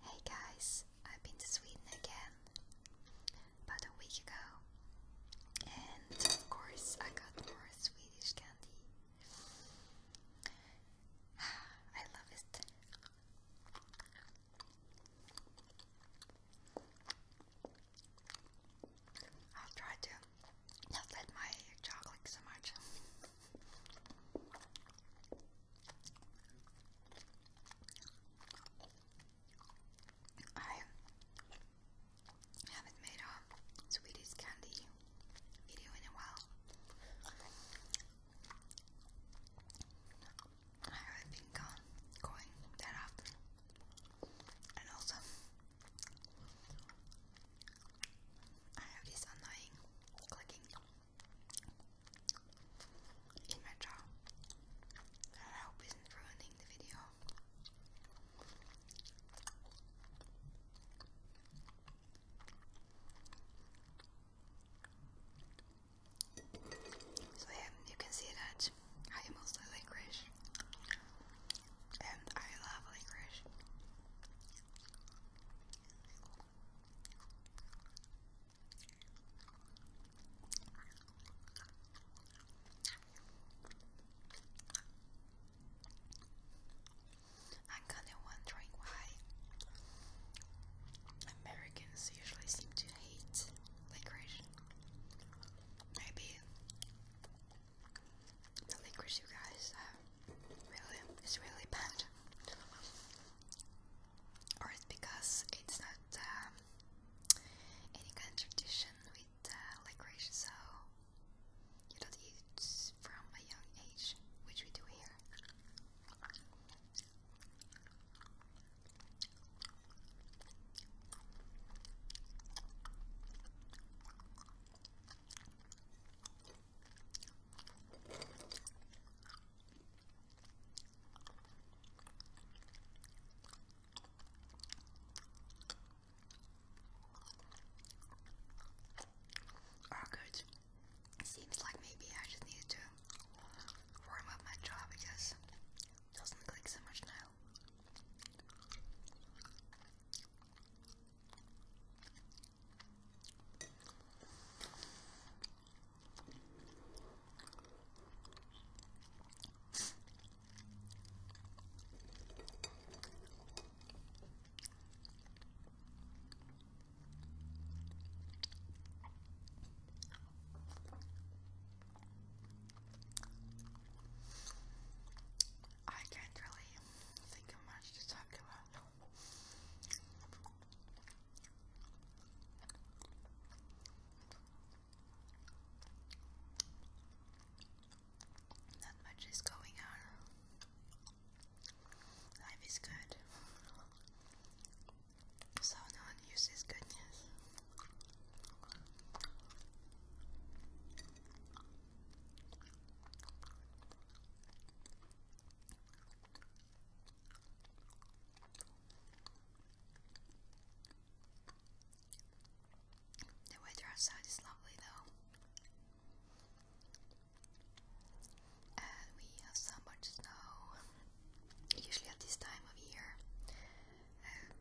Hey guys, I've been to Sweden again about a week ago, and of course, I got more Swedish candy. I love it. I'll try to not let my chocolate so much. I haven't made a Swedish candy video in a while. I haven't been gone, going that often. And also, I have this annoying clicking in my jaw. I hope isn't ruining the video. So yeah, you can see that I mostly licorice, and I love licorice. I'm kinda wondering why Americans usually seem to hate licorice. Maybe the licorice you guys have uh, really is really bad or it's because it's not um, any kind of tradition with uh, licorice, so you don't eat from a young age, which we do here. All good. Seems like maybe I just needed to warm up my jaw because doesn't click so much now. I can't really think of much to talk about. Not much is going on. Life is good. So no one uses goodness. The weather outside is lovely though. And we have so much snow, usually at this time of year. Um,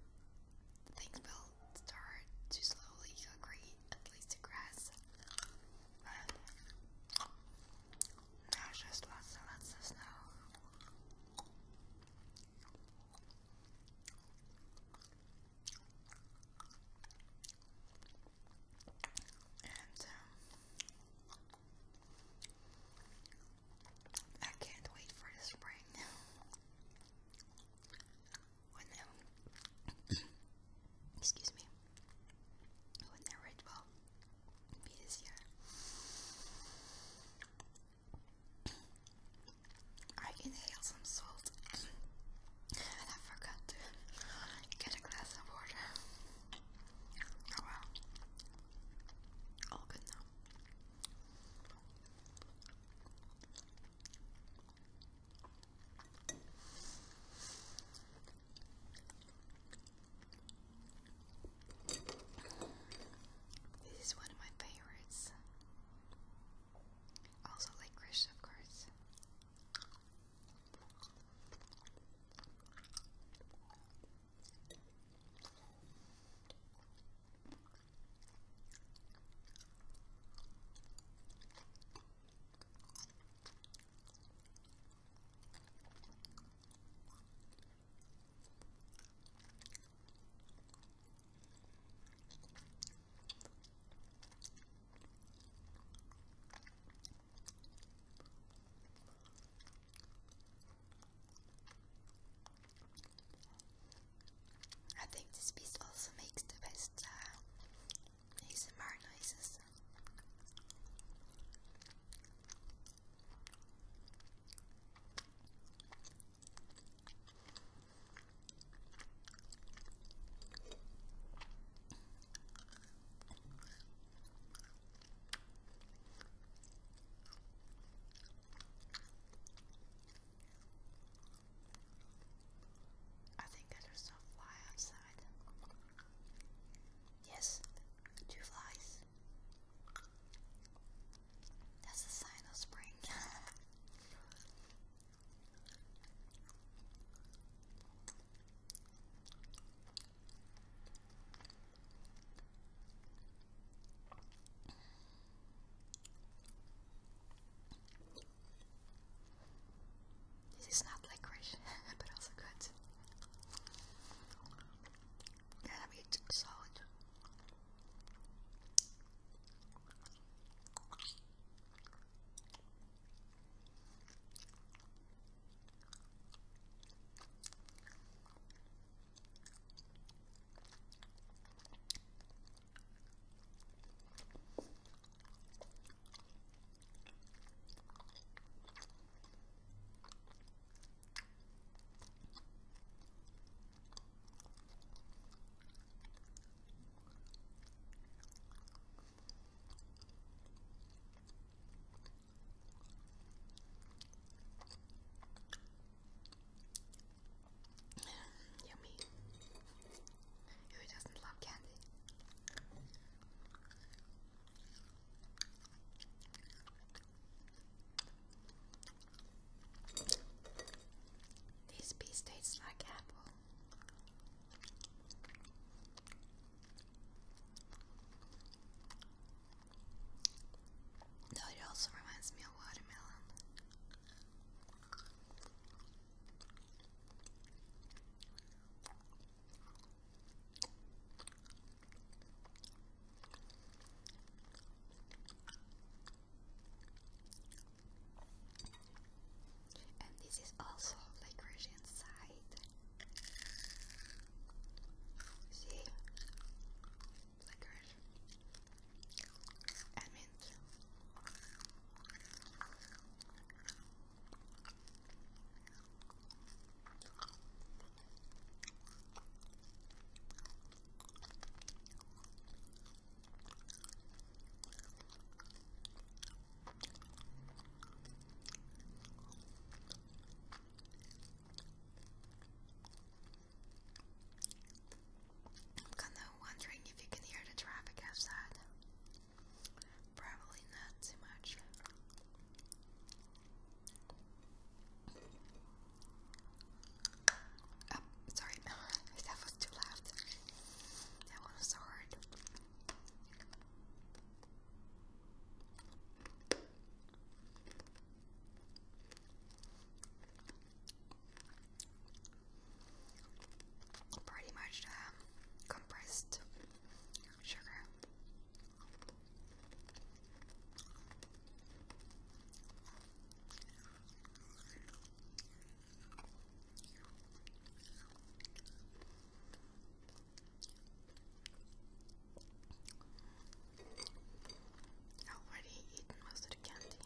things will start to slowly green, at least the grass. And just lots and lots of snow. And I can't wait for the spring. when, um, excuse me whenever it will be this I inhaled some salt and I forgot to get a glass of water. Oh well. All good now. This is one of my favorites. Also licorice, of course. I think this piece also makes the best uh, ASMR noises. I think I just saw a fly outside. Yes, two flies. That's a sign of spring. This is not licorice, but also good. And a bit solid. Yummy. Who doesn't love candy? This piece tastes like apple. Though it also reminds me of watermelon. And this is also licorice inside. See? Licorice. And I'm kind of wondering if you can hear the traffic outside. Probably not too much. Oh, sorry, that was too loud. That one was so hard. Pretty much um, compressed sugar. I already eaten most of the candy.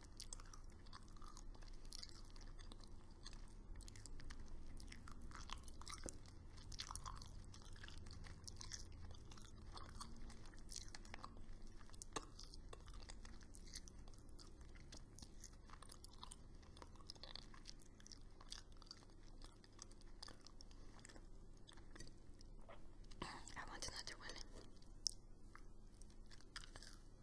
I want another one. Um,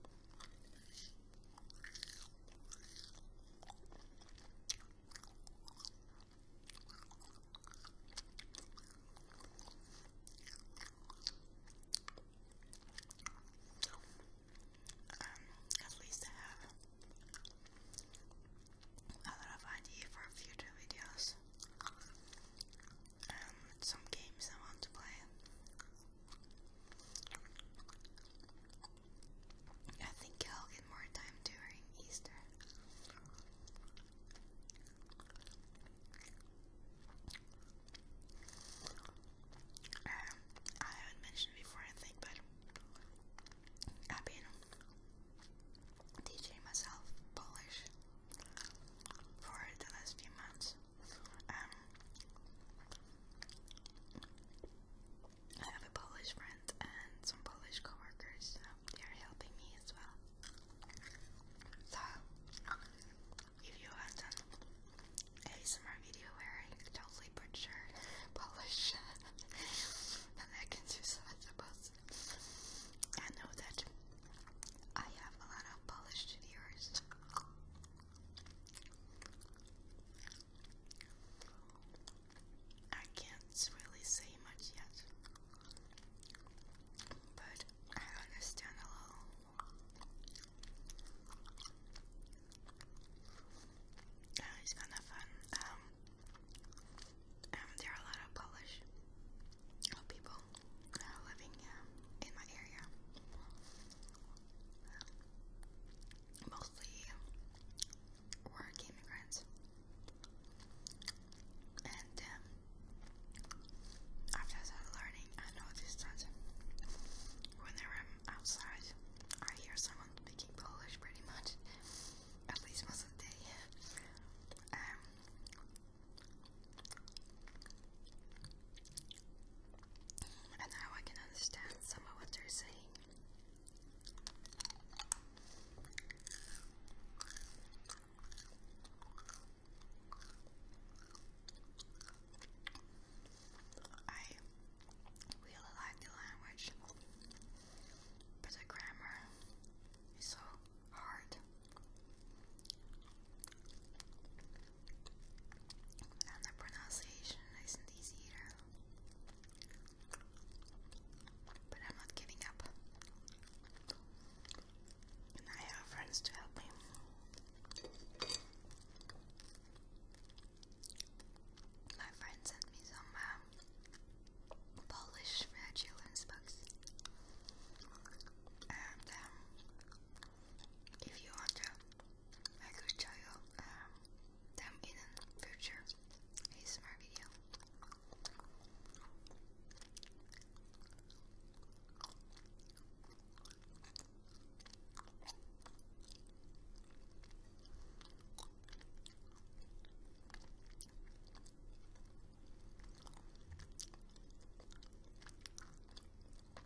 at least I have a lot idea for future videos and um, some games I want to play. I think I'll get more time during Easter. Um, I haven't mentioned before, I think, but I've been teaching myself Polish for the last few months. Um, I have a Polish friend and some Polish coworkers, they are helping me as well. So, if you want an ASMR video where I totally butcher Polish, then I can do so, I suppose. I know that I have a lot of Polish viewers. I can't really say much yet, but I understand a little. Uh, it's kind of fun. Um, um, there are a lot of Polish uh, people uh, living um, in my area mostly work immigrants. And um, after I learning, I noticed that whenever I'm um, outside, I hear someone speaking Polish pretty much, at least most of the day. Um, and now I can understand some of what they're saying. I really like the language, but the grammar is so hard. And the pronunciation isn't easy either. But I'm not giving up. I have friends to help me. My friend sent me some um, Polish uh, children's books. And um, if you want to, I could show you um, them in the future ASMR video. Okay,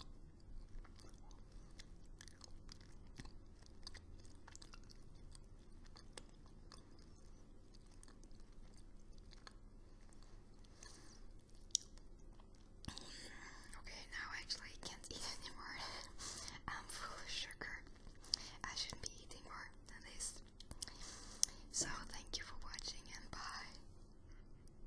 now actually can't eat anymore. I'm full of sugar. I shouldn't be eating more than this. So, thank you for watching and bye.